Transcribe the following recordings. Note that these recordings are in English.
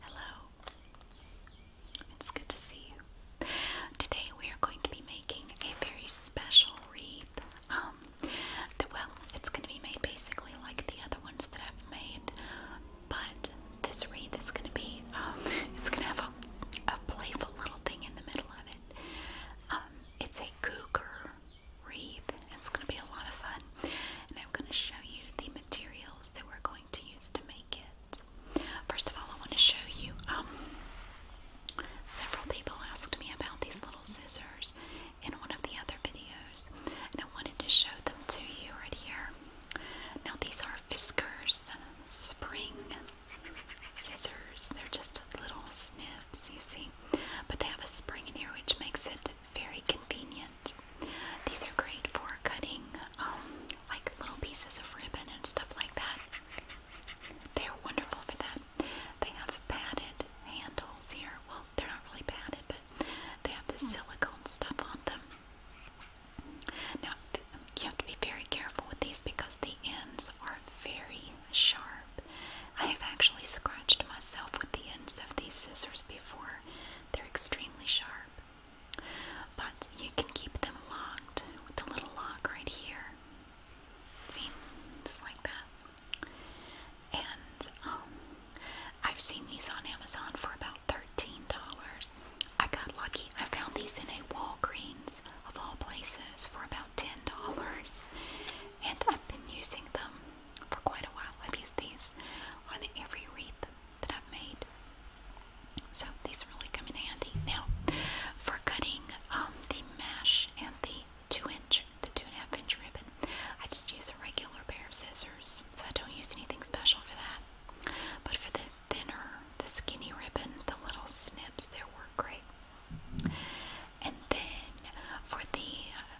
Hello. It's good to see you. Today we are going to be making a very special wreath. Um, well, it's going to be made basically like the other ones that I've made, but this wreath is going to be, um, it's going to have a, playful little thing in the middle of it. Um, it's a cougar reap. It's going to be a lot of fun. And I'm going to show you the materials that we're going to use to make it. First of all, I want to show you, um, several people asked me about these little scissors in one of the other videos, and I wanted to show them to you right here. Now, these are Fiskars spring scissors. They're just little snips, you see, but they have a spring in here, which makes it very convenient. These are great for cutting um, like little pieces of ribbon and stuff like that. They're wonderful for that. They have padded handles here. Well, they're not really padded, but they have the silicone stuff on them. Now, you have to be very careful with these because the ends are very sharp. I have actually scratched myself with the ends of these scissors before. They're extremely sharp. But you can keep them locked with the little lock right here. See? It's like that. And um, I've seen these on Amazon for about $13. I got lucky. I found these in a Walgreens, of all places, for about $10 and I've been using them for quite a while. I've used these on every wreath that I've made. So these really come in handy. Now, for cutting um, the mesh and the two inch, the two and a half inch ribbon, I just use a regular pair of scissors, so I don't use anything special for that. But for the thinner, the skinny ribbon, the little snips, they work great. And then for the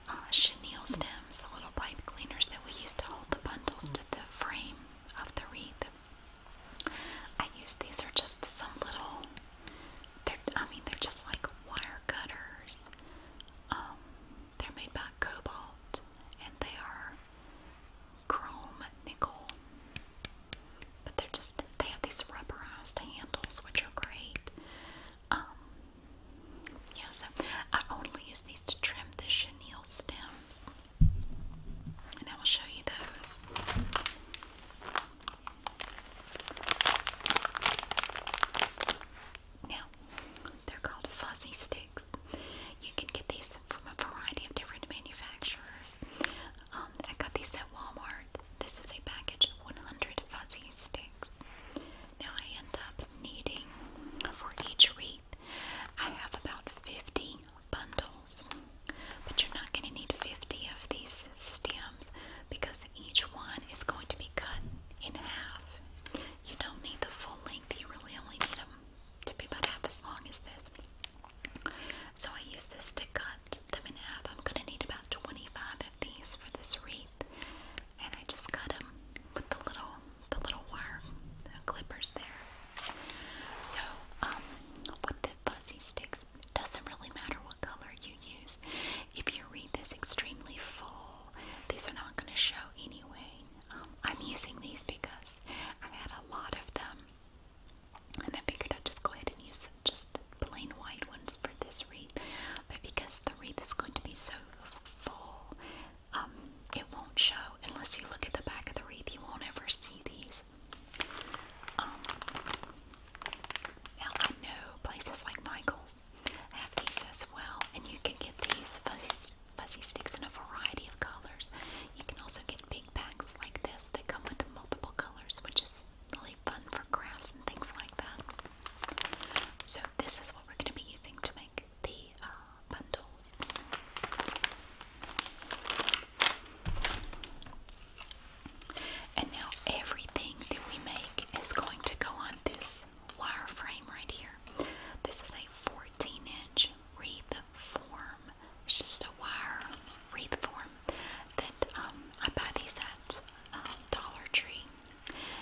uh, chenille stems, the little pipe cleaners that we used to hold the bundles to the frame of the wreath. I use these are just some little. They're, I mean, they're just like wire cutters. Um, they're made by Cobalt, and they are chrome nickel. But they're just—they have these rubberized handles, which are great. Um, yeah, so I only use these to trim the chenille stems. And I will show you those. Now, they're called fuzzy sticks. You can get these from a variety of different manufacturers. Um, I got these at Walmart. This is a package of 100 fuzzy sticks. Now I end up needing for each wreath, I have about 50 bundles, but you're not going to need 50 of these stems because each one is going to be cut in half. You don't need the full length, you really only need them to be about half as long as this. So I use this to cut them in half. I'm going to need about 25 of these for this wreath and I just got them with the little the little wire the clippers there. So um, with the fuzzy sticks, it doesn't really matter what color you use. If you read this extremely full, these are not going to show anyway. Um, I'm using these because I had a lot of them. And I figured I'd just go ahead and use just plain white ones for this wreath. But because the wreath is going to be so full. Um, it won't show unless you look at the back of the wreath. You won't ever see these. Um, now I know places like Michaels have these as well, and you can get these fuzzy, sticks in a variety of colors. You can also get big packs like this They come with multiple colors, which is really fun for crafts and things like that. So this is what we're going to be using to make the uh, bundles. And now everything that we make is going to go on this wire frame right here. This is a 14 inch wreath form. It's just a wire wreath form that um, I buy these at um, Dollar Tree.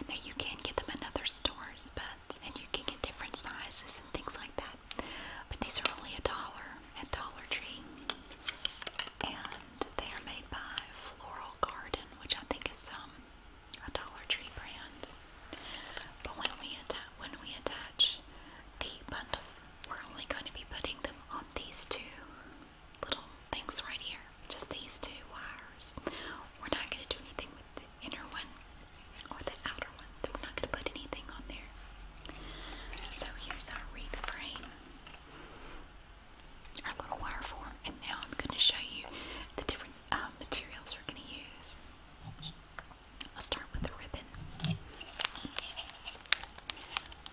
Now you can get them at other stores, but and you can get different sizes and things like that. But these are only a dollar at Dollar Tree, and they are made by Floral Garden, which I think is um a Dollar Tree brand. But when we attach when we attach the bundles, we're only going to be putting them on these two little things right here just these two wires. We're not going to do anything with the inner one or the outer one. we're not going to put anything on there. So here's our wreath frame, our little wire form, and now I'm going to show you the different um, materials we're going to use. I'll start with the ribbon.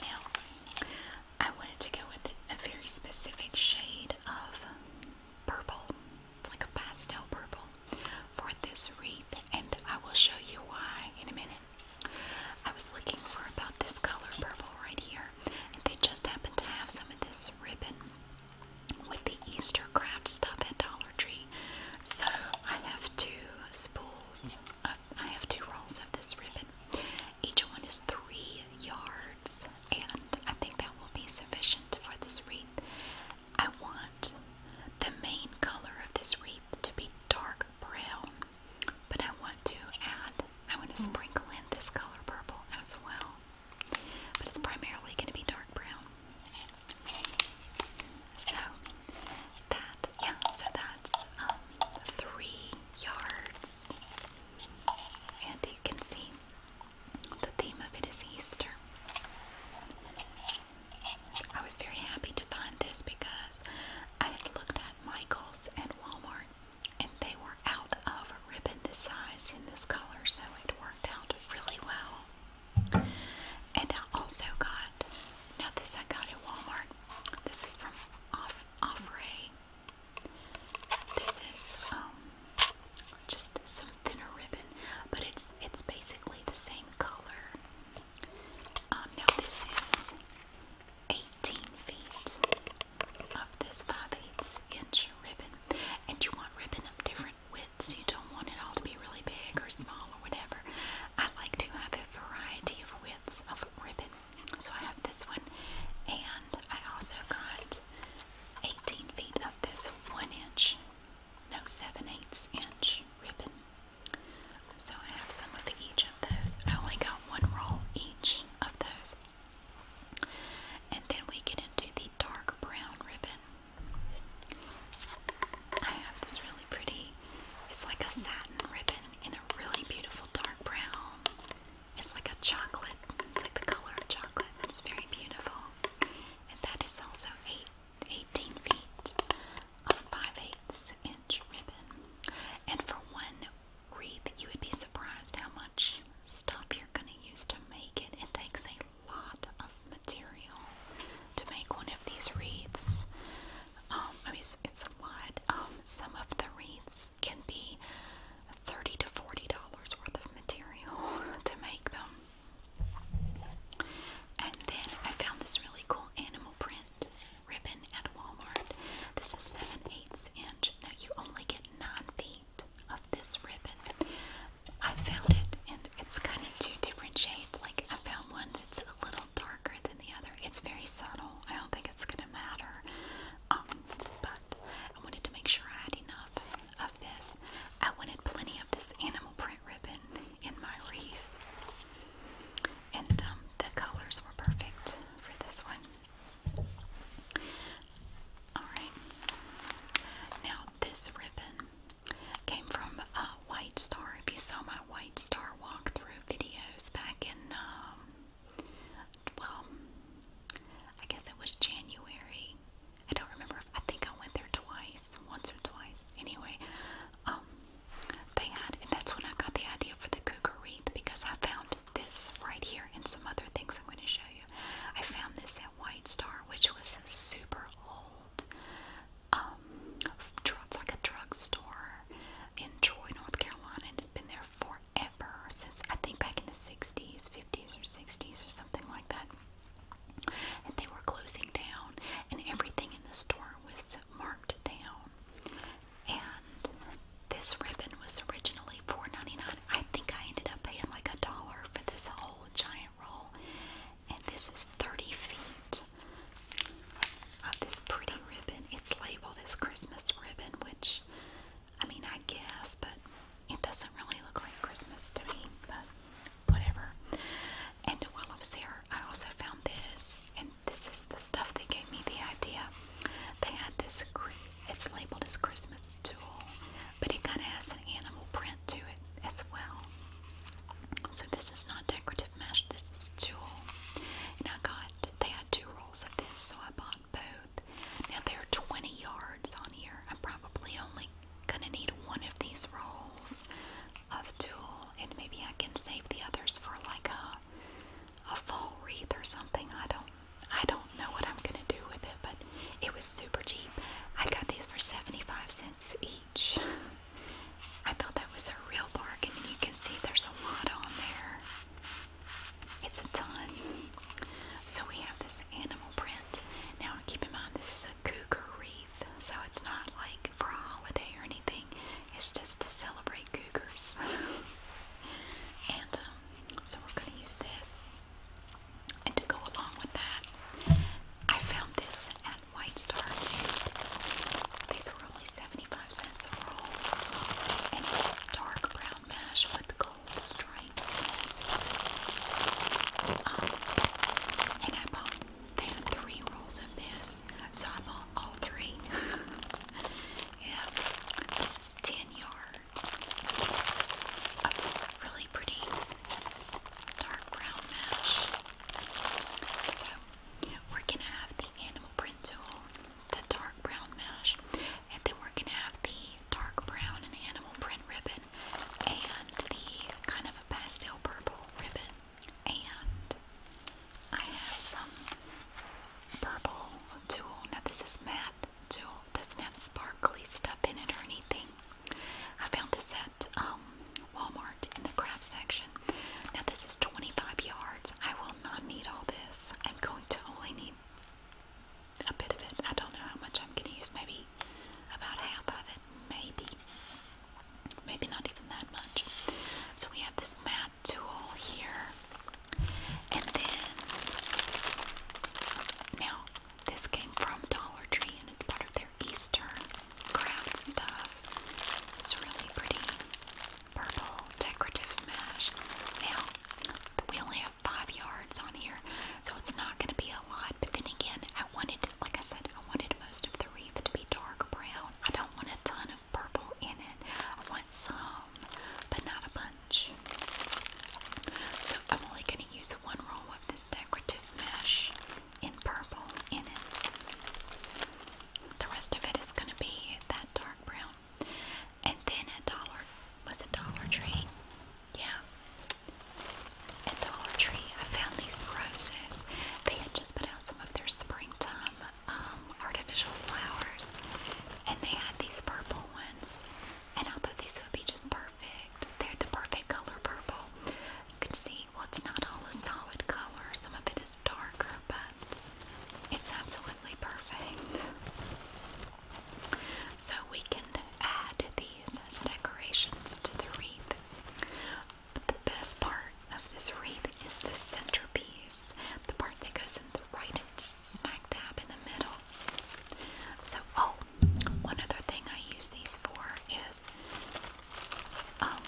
Now, I wanted to go with a very specific shade of purple. It's like a pastel purple for this wreath, and I will show you why in a minute. I was looking for about this color purple right here, and they just happened to have some of this ribbon with the Easter craft stuff at Dollar Tree. So I have two spools, of, I have two rolls of this ribbon. Each one is three yards and I think that will be sufficient for this wreath. I want the main color of this wreath to be dark brown, but I want to add, I want to hmm. sprinkle in this color purple as well, but it's primarily going to be dark brown. So that, yeah, so that's um, three yards, and you can see the theme of it is Easter. I was very happy to find this because I had looked at Michael's and Walmart and they were out of ribbon this size in this color, so it worked out really well. And I also got, now this I got at Walmart. This is from Off Offray. This is um just some thinner ribbon, but it's it's basically the same color. Um, now this is 18 feet of this 5 eighths inch ribbon, and you want ribbon of different widths. You don't want it all to be really big or small or whatever. I like to have a variety of widths of ribbon. So I have this one, and I also got 18 feet this one inch, no, seven eighths inch ribbon. So I have some of each of those. I only got one roll each of those. And then we get into the dark brown ribbon. I have this really pretty, it's like a satin ribbon in a really beautiful dark brown. It's like a chocolate it's like the color of chocolate. It's very beautiful. And that is also eight, 18 feet of 5 eighths inch ribbon. And for one wreath, you would be surprised how much stuff you're going to use to make it. It takes a lot of material to make one of these wreaths. Um, I mean, it's, a lot. Um, some of the wreaths can be thirty to forty dollars worth of material to make them. And then I found this really cool animal print ribbon at Walmart. This is seven eighths inch. Now you only get nine feet of this ribbon. I found it, and it's kind of two different shades. Like I found one that's a little darker than the other. It's very subtle. I don't think it's gonna matter. Um, but I wanted to make sure I had enough I wanted plenty of this animal print ribbon in my wreath. And um, the colors were perfect for this one. Alright. Now, this ribbon came from uh, White Star. If you saw my White Star walk-through videos back in, um, well, I guess it was January I don't remember. I think I went there twice, once or twice. Anyway, um, they had, and that's when I got the idea for the cougar wreath because I found this right here and some other things I'm going to show you. I found this at White Star, which was super old. it's um, like a drugstore in Troy, North Carolina, and it's been there forever since I think back in the 60s, 50s, or 60s, or something like that and they were closing down, and everything in the store was marked down. And this ribbon was originally $4.99. I think I ended up paying like a dollar for this whole giant roll. And this is 30 feet of this pretty ribbon. It's labeled as Christmas ribbon, which I mean, I guess, but it doesn't really look like Christmas to me, but whatever. And while I was there, I also found this, and this is the stuff that gave me the idea. They had this, it's labeled as Christmas Tool, but it kind of has an animal print to it as well. So this is not decorative mesh, this is tool. And I got, they had two rolls of this, so I bought both. Now there are 20 yards on here. I am probably only gonna need one of these rolls of tulle, and maybe I can save the others for like a a fall wreath or something. I don't I don't know what I'm gonna do with it, but it was super cheap. I got these for 75 cents each. I thought that was a real bargain, and you can see there's a lot on there. It's a ton. So we have this animal print. Now keep in mind this is a cougar wreath, so it's not like for a holiday or anything. It's just to celebrate cougars. and um, so we're going to use this. And to go along with that, I found this at White Star too. These were only 75 cents a roll. And it's dark brown mash with gold stripes um, and I bought, they had three rolls of this, so I bought all three. yeah, this is 10 yards of this really pretty dark brown mesh. So, we're gonna have the animal print tool, the dark brown mesh, and then we're gonna have the dark brown and animal print ribbon and the kind of a pastel purple ribbon. And I have some purple tulle. Now this is matte tulle. Doesn't have sparkly stuff in it or anything. I found this at um, Walmart in the craft section. Now this is 25 yards. I will not need all this. I'm going to only need a bit of it. I don't know how much I'm going to use. Maybe about half of it. Maybe. Maybe not even that much. So we have this matte tool here. And then, now this came from Dollar Tree and it's part of their Eastern craft stuff. This is really pretty purple decorative mesh. Now, we only have five yards on here, so it's not going to be a lot. But then again, I wanted, like I said, I wanted most of the wreath to be dark brown. I don't want a ton of purple in it. I want some, but not a bunch. So I'm only going to use one roll of this decorative mesh in purple in it. The rest of it is going to be that dark brown. And then a dollar was a Dollar Tree. Yeah. At Dollar Tree, I found these roses. They had just put out some of their springtime um, artificial flowers, and they had these purple ones. And I thought these would be just perfect. They're the perfect color purple. You can see, well, it's not all a solid color, some of it is darker, but it's absolutely perfect. So, we can add these decorations to the wreath. But the best part of this wreath is the centerpiece, the part that goes in the right smack dab in the middle. So, oh, one other thing I use these for is um,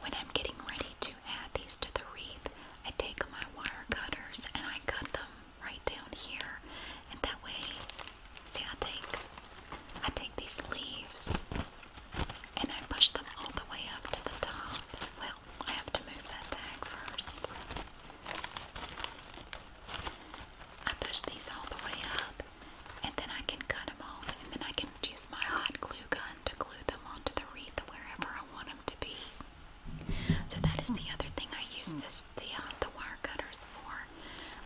when I'm getting ready to add these to the wreath, I take my wire cutters and I cut them right down here, and that way, see, I take, I take these leaves and I push them all the way up to the top. Well, I have to move that tag first. I push these all the way up, and then I can cut them off, and then I can use my hot glue gun to glue them onto the wreath wherever I want them to be. So that is the other thing I use this the uh, the wire cutters for.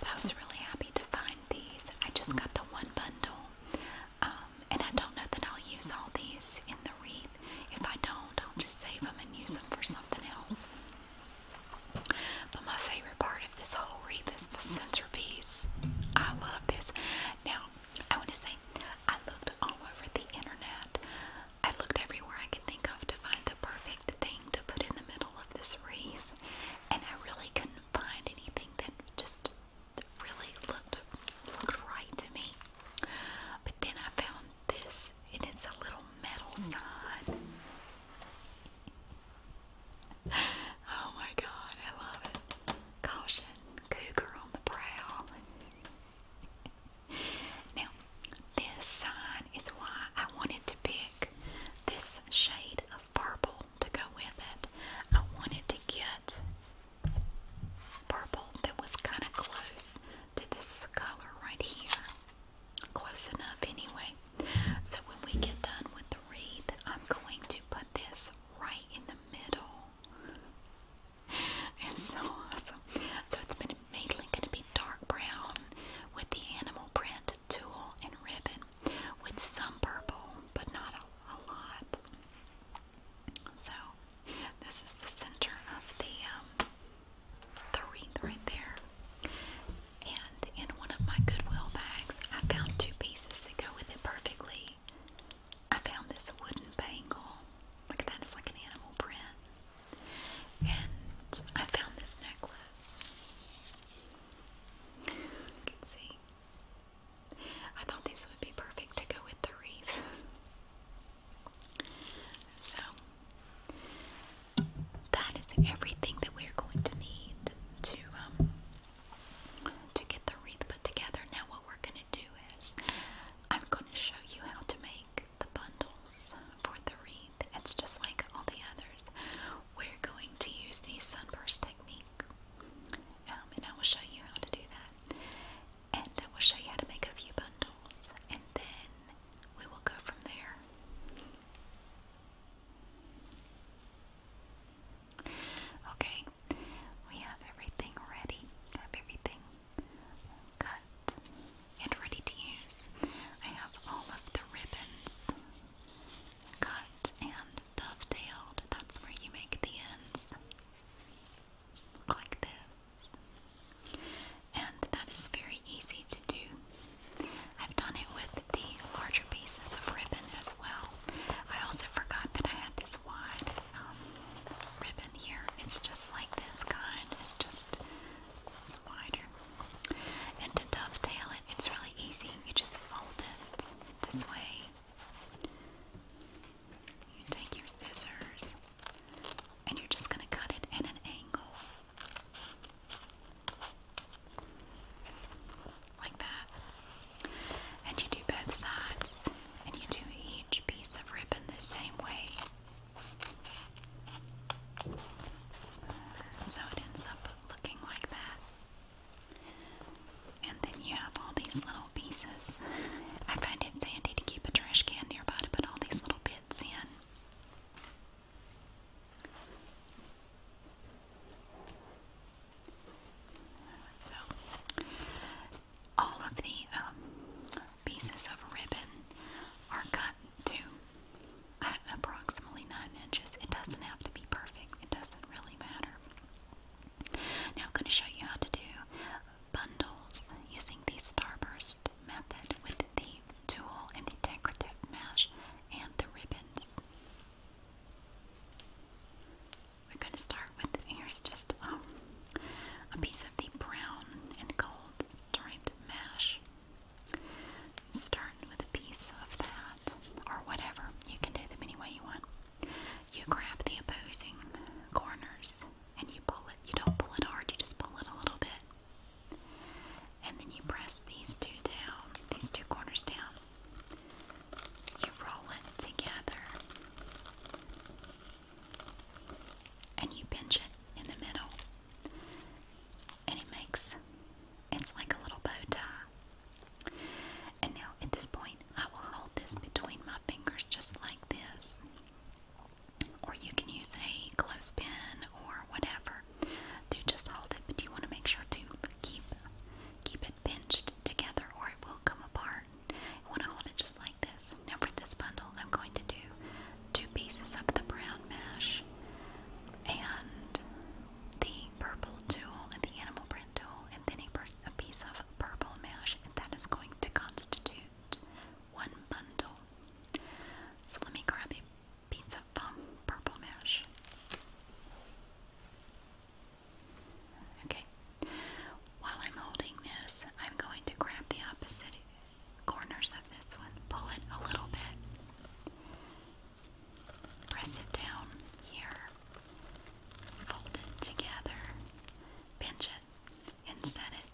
I was really happy to find these. I just got the one bundle, um, and I don't know that I'll use all these in the wreath. If I don't, I'll just save them and use them for something else. But my favorite part of this whole wreath is the centerpiece. I love this. Now, I want to say I looked all over the internet I looked everywhere I could think of to find the perfect thing to put in the middle of this wreath, and I really couldn't find anything that just really looked looked right to me. But then I found this, and it's a little metal sign. Oh my god, I love it. Caution, cougar on the prowl. now, this sign is why I wanted to pick this shade of purple to go with it. I wanted to get purple that was kind of close to this color right here. Close enough, anyway. So, when we get done with the wreath, I'm going to put this right in the middle. It's so awesome. So, it's been mainly going to be dark brown with the animal print tulle and ribbon with some purple, but not a, lot. So this is the center of the um, the wreath right there. And in one of my Goodwill bags, I found two pieces that go with it perfectly. I found this wooden bangle. Look at that, it's like an animal print. And I found this necklace. You can see. I thought these would be perfect to go with the wreath. So, that is everything that we're going to need to um, to get the wreath put together. Now, what we're going to do is I'm going to show you how to make the bundles for the wreath. It's just like all the others. We're going to use the sunburst technique. Um, and I will show you how to do that. And I will show you how to make a few bundles. And then we will go from there. Okay, we have everything ready. Have everything cut and ready to use. I have all of the ribbons cut and dovetailed. That's where you make the ends look like this. And that is very easy to do. I've done it with the larger pieces of ribbon as well. I also forgot that I had this wide um, ribbon here. It's just like this kind. It's just it's wider. And to dovetail it, it's really easy. You just fold it this way. You take your scissors and you're just going to cut it at an angle. Like that. And you do both sides and you do each piece of ribbon the same way. So it ends up looking like that. And then you have all these little pieces. I find it sandy to keep a trash can nearby to put all these little bits in. So, all of the um, pieces of ribbon are cut to uh, approximately 9 inches. It doesn't have to be perfect, it doesn't really matter. Now, I'm going to show you how to do bundles using the starburst method with the tool and the decorative mesh and the ribbons. We're going to start with here's just um, a piece of the brown and gold striped mesh. Start with a piece of that, or whatever. You can do them any way you want. You grab the opposing corners and you pull it. You don't pull it hard, you just pull it a little bit. And then you press these two down, these two corners down. You roll it together. And you pinch it in the middle. And it makes it's like a little bow tie. And now at this point, I will hold this between my fingers just like this. Or you can use a clothespin or whatever to just hold it, but you want to make sure to keep keep it pinched together or it will come apart. I want to hold it just like this. Now for this bundle, I'm going to do two pieces of the brown mesh and the purple tool and the animal print tool, and then a, piece of purple mesh, and that is going to constitute one bundle. So let me grab a piece of um, purple mesh. Okay, while I'm holding this, I'm going to grab the opposite corners of this one, pull it a little bit, Press it down here. Fold it together. Pinch it and set it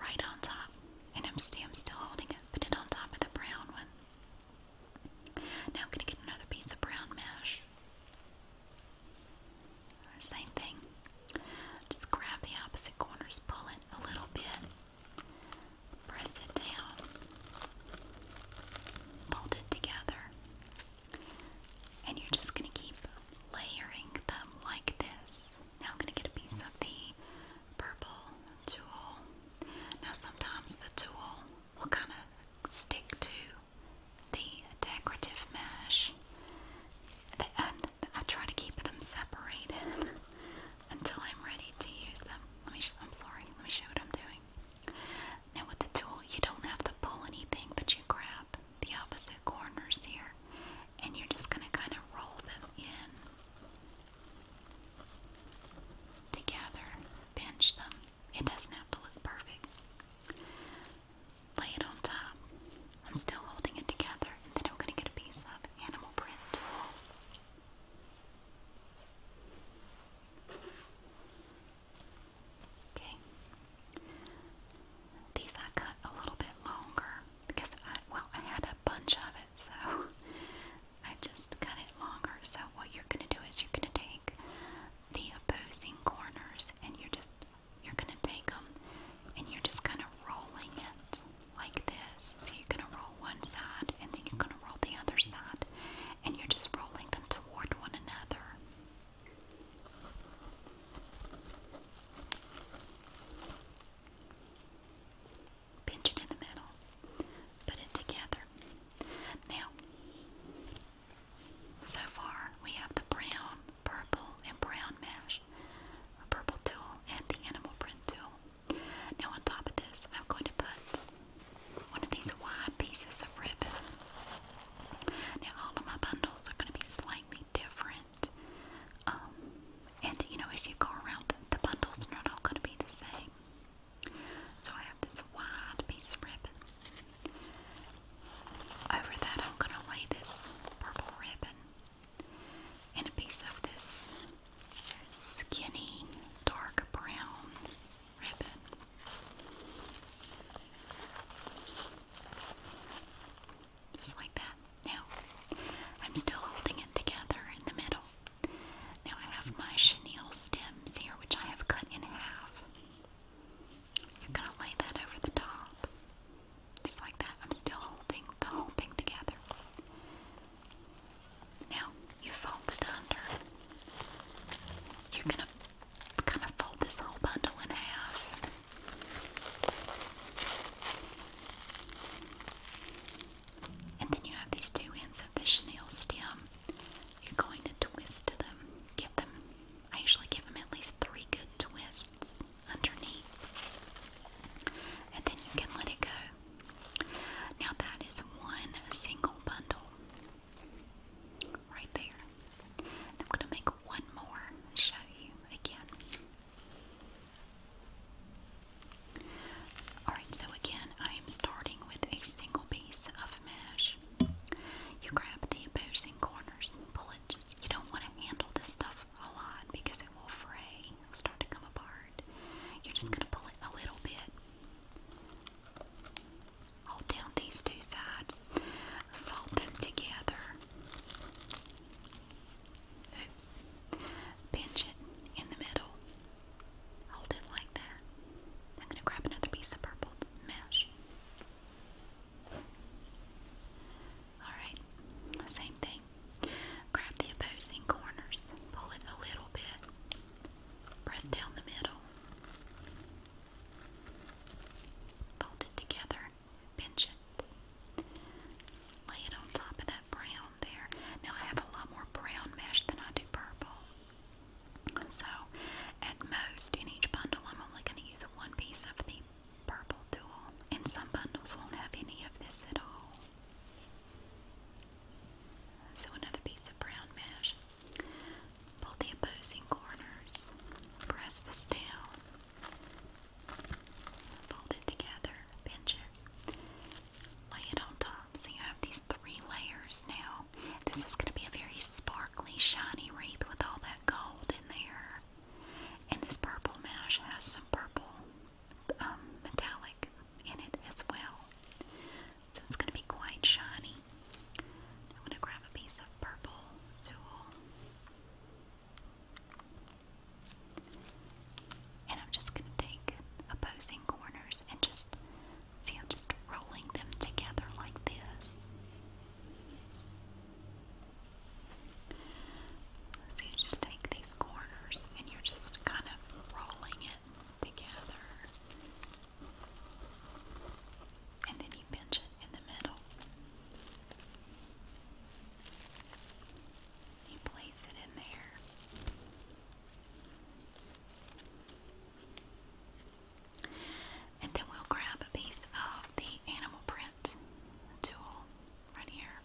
right on top. And I'm, still holding it. Put it on top of the brown one. Now I'm going to get another piece of brown mesh. Same thing. Just grab the opposite corners, pull it a little bit, Press it down, fold it together, and you're just going to keep layering them like this. Now I'm going to get a piece of the purple tool. Now sometimes the tool will kind of stick to the decorative mesh, and I try to keep them separated until I'm ready to use them. Let me. I'm sorry. Let me show you what I'm doing. Now with the tool, you don't have to pull anything, but you grab the opposite corners here, and you're just gonna kind of roll them in together. Pinch them. It doesn't have to look perfect. Lay it on top. I'm still holding it together, then I'm gonna get a piece of animal print tool. Okay. These I cut a little bit longer because well I had a bunch of it so I just cut it longer. So what you're gonna do is you're gonna take the opposing corners and you're just you're gonna take them and you're just kind of rolling it like this. So you're gonna roll one side and then you're going to roll the other side, and you're just rolling them toward one another. Pinch it in the middle, put it together. Now, so far we have the brown, purple, and brown mesh, a purple tool, and the animal print tool. Now on top of this, I'm going to put one of these wide pieces of ribbon. Now all of my bundles are going to be slightly different. Um, and you know, as you go around, the bundles are not all going to be the same. So I have this wide piece of ribbon. Over that, I'm going to lay this purple ribbon and a piece of this skinny dark brown ribbon. Just like that. Now, I'm still holding it together in the middle. Now, I have my chenille stems here, which I have cut in half. I'm going to lay that over the top. Just like that. I'm still holding the whole thing together. Now, you fold it under. You're gonna kind of fold this whole bundle in half. And then you have these two ends of the chenille stem. You're going to twist them. Give them, I usually give them at least three good twists underneath. And then you can let it go now that is one single bundle right there. I'm going to make one more show you again. Alright, so again, I am starting with a single piece of mesh. You grab the opposing corners and pull it. Just, you don't want to handle this stuff a lot because it will fray, start to come apart. You're just going to pull it a little bit Hold down these two sides, fold them together. Oops. Pinch it in the middle. Hold it like that. I'm going to grab another piece of purple mesh. Alright, same thing. Grab the opposing corners, pull it a little bit. Press down the middle. Fold it together. Pinch it. Lay it on top of that brown there. Now I have a lot more brown mesh than I do purple. So at most in each bundle I'm only going to use one piece of the purple dual. And some bundles won't have any of this at all. So another piece of brown mesh. Pull the opposing corners. Press this down. Fold it together. Pinch it. Lay it on top. So you have these three layers now. This is going to be a very sparkly, shiny wreath with all that gold in there. And this purple mesh has some purple um, metallic in it as well so it's going to be quite shiny. I'm going to grab a piece of purple tool. And I'm just going to take opposing corners and just see, I'm just rolling them together like this. So you just take these corners and you're just kind of rolling it together. And then you pinch it in the middle. You place it in there. And then we'll grab a piece of the animal print tool right here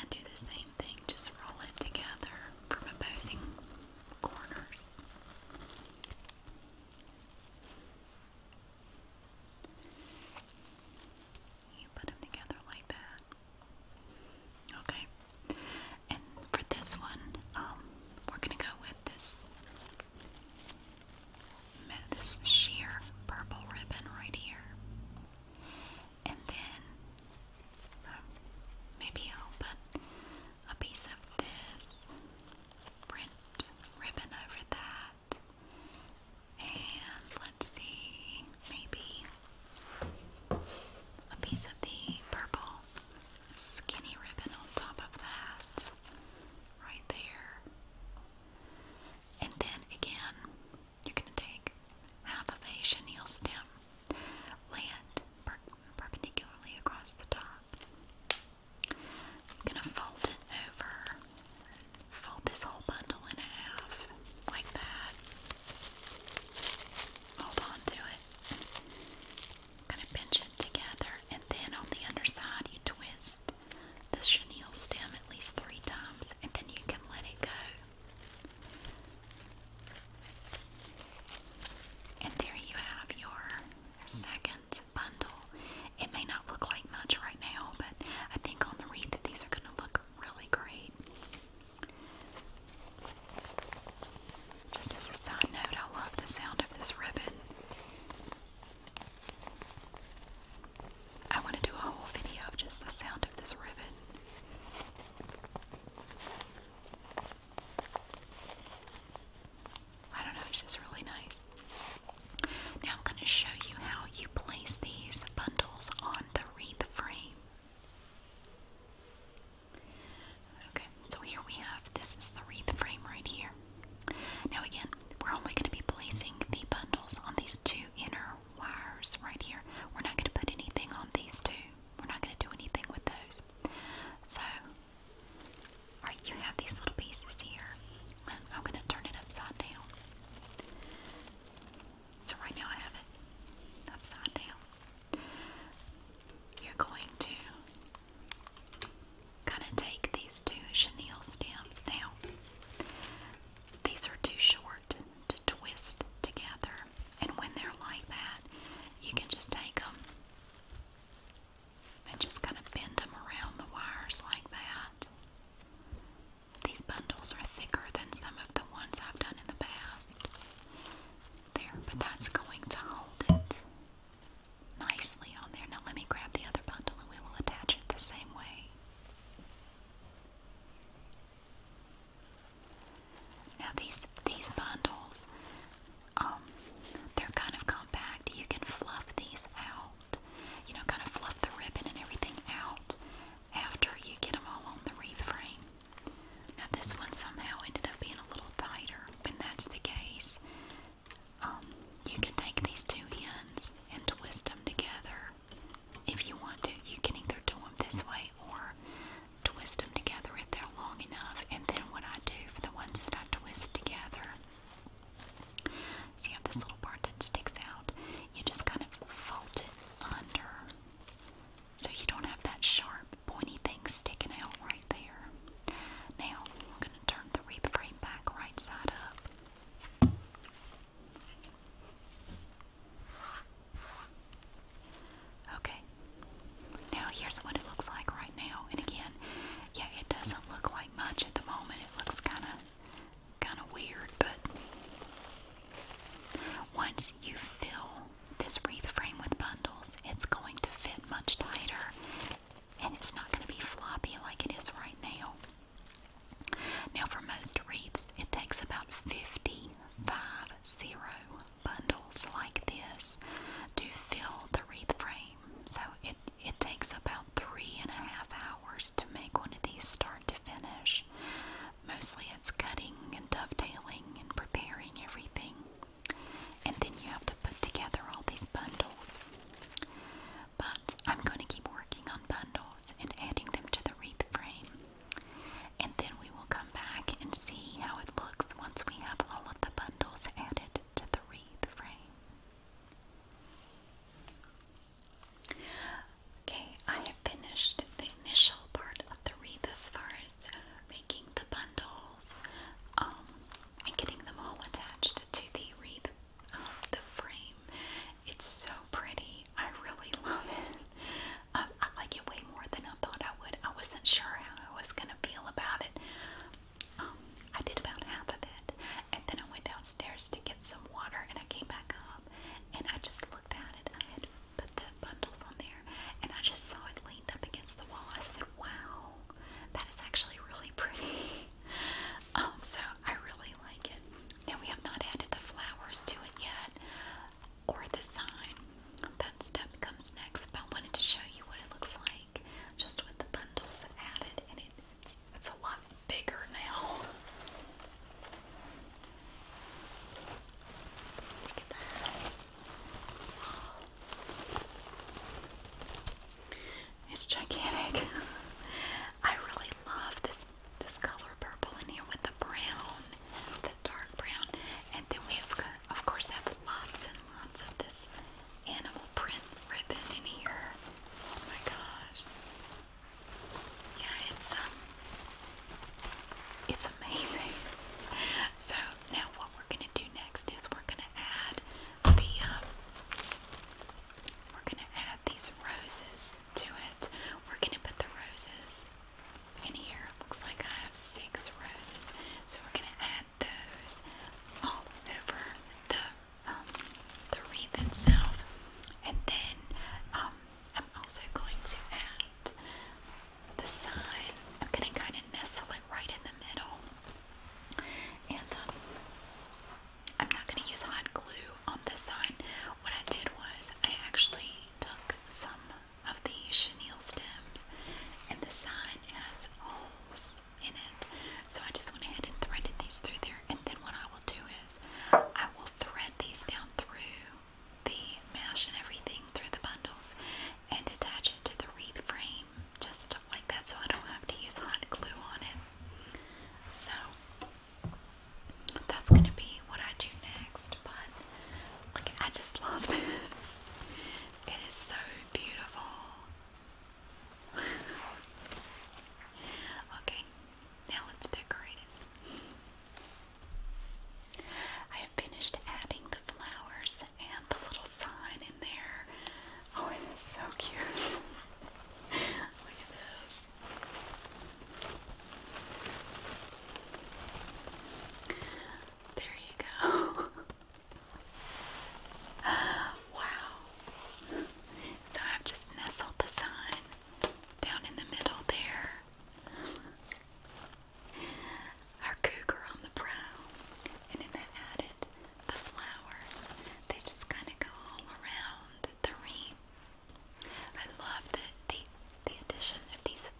and do the same just roll it together from opposing corners. You put them together like that. Okay. And for this one, um, we're going to go with this this sheer purple ribbon right here and then maybe I'll put a piece of this print ribbon over that. And let's see, maybe a piece of the purple skinny ribbon on top of that, right there. And then again, you're going to take half of a chenille stem Land perpendicularly across the top. I'm gonna fold it over. Fold this whole bundle in half like that. Hold on to it. gonna pinch it together and then on the underside you twist the chenille stem at least three times and then you can let it go. And there you have your second bundle. It may not look like much right now, but I think on the wreath that these are going to look really great. Just as a side note, I love the sound of this ribbon. I want to do a whole video of just the sound of this ribbon. I don't know, it's just really nice. Now I'm going to show you how you place these bundles on the wreath frame. Okay, so here we have this is the wreath frame right here. Now, again, we're only going to be placing the bundles on these two inner wires right here. We're not going to put anything on these two we're not going to do anything with those. So, you have these little pieces here, I'm going to turn it upside down. So, right now I have it upside down. You're going to kind of take these two chenille stems now. These are too short to twist together. And when they're like that, you can just take them and just kind of bend them around the wires like that. These bundles are thicker than some of the ones I've done in the past. There, but that's going to hold it nicely on there. Now let me grab the other bundle and we will attach it the same way. Now these these bundles, um, they're kind of compact. You can fluff these out, you know, kind of fluff the ribbon and everything out after you get them all on the wreath frame. Now this one somehow ended up being a little tighter. When that's the case, um, you can take these two ends and twist them together if you want to. You can either do them this way or twist them together if they're long enough. And then what I do for the ones that I twist together, so you have this little part that sticks out. You just kind of fold it under, so you don't have that sharp, pointy thing sticking out right there. Now we're going to turn the wreath frame back right side up. Okay, now here's what it looks like right now. And again, yeah, it doesn't look like much at the moment. It looks kind of kind of weird, but once you fill this wreath frame with bundles, it's going to fit much tighter and it's not going to be floppy like it is right now. Now, for most wreaths, it takes about 55 zero bundles like this to fill the wreath frame. So it, it takes about three and a half hours to make one of these start to finish. Mostly it's cutting and dovetailing and preparing everything. And then you have to put together all these bundles. But I'm going to keep working on bundles and adding them to the wreath frame and then we will come back and see how it looks once we have all of the bundles added to the wreath frame. Okay, I have finished the initial part of the wreath as far as uh, making the bundles um, and getting them all attached to the wreath, uh, the frame. It's so pretty. I really love it. I, like it way more than I thought I would. I wasn't sure how I was gonna feel about it. Um, I did about half of it, and then I went downstairs to get some water, and I came back up, and I just looked at it. I had put the bundles on there, and I just saw it leaned up against the wall. I said, "Wow, that is actually really pretty." um, so I really like it. Now we have not added the flowers to it yet or the sign. That step comes next, but I wanted to show you what it looks like just with the bundles added, and it's, a lot bigger now. It's gigantic. I really love this this color purple in here with the brown, the dark brown, and then we have of course, have lots and lots of this animal print ribbon in here. Oh my gosh. Yeah, it's um it's amazing. So now what we're gonna do next is we're gonna add the um, we're gonna add these roses to it. We're gonna put the roses in here looks like I have six roses, so we're gonna add those all over the um, the wreath itself, and then um, I'm also going to add the sign. I'm gonna kind of nestle it right in the middle, and um, I'm not gonna use hot glue on this sign. What I did was I actually took some of the chenille stems, and the side has holes in it. So I just went ahead and threaded these through there, and then what I will do is I will thread these down through the mesh and everything through the bundles and attach it to the wreath frame, just like that, so I don't have to use hot glue on it. So that's gonna be what I do next, but like I just love this. It is so beautiful. okay, now let's decorate it. I have finished adding the flowers and the little sign in there. Oh, it is so cute. Look at this. There you go. wow. So I've just nestled the sign down in the middle there. Our cougar on the prow. And then they added the flowers. They just kind of go all around the wreath. I love the, the, the addition of these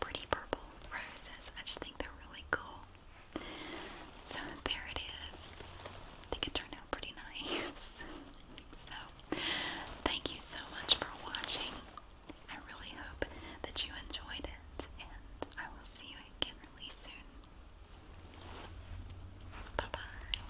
pretty purple roses. I just think they're really cool. So there it is. I think it turned out pretty nice. so thank you so much for watching. I really hope that you enjoyed it, and I will see you again really soon. Bye bye.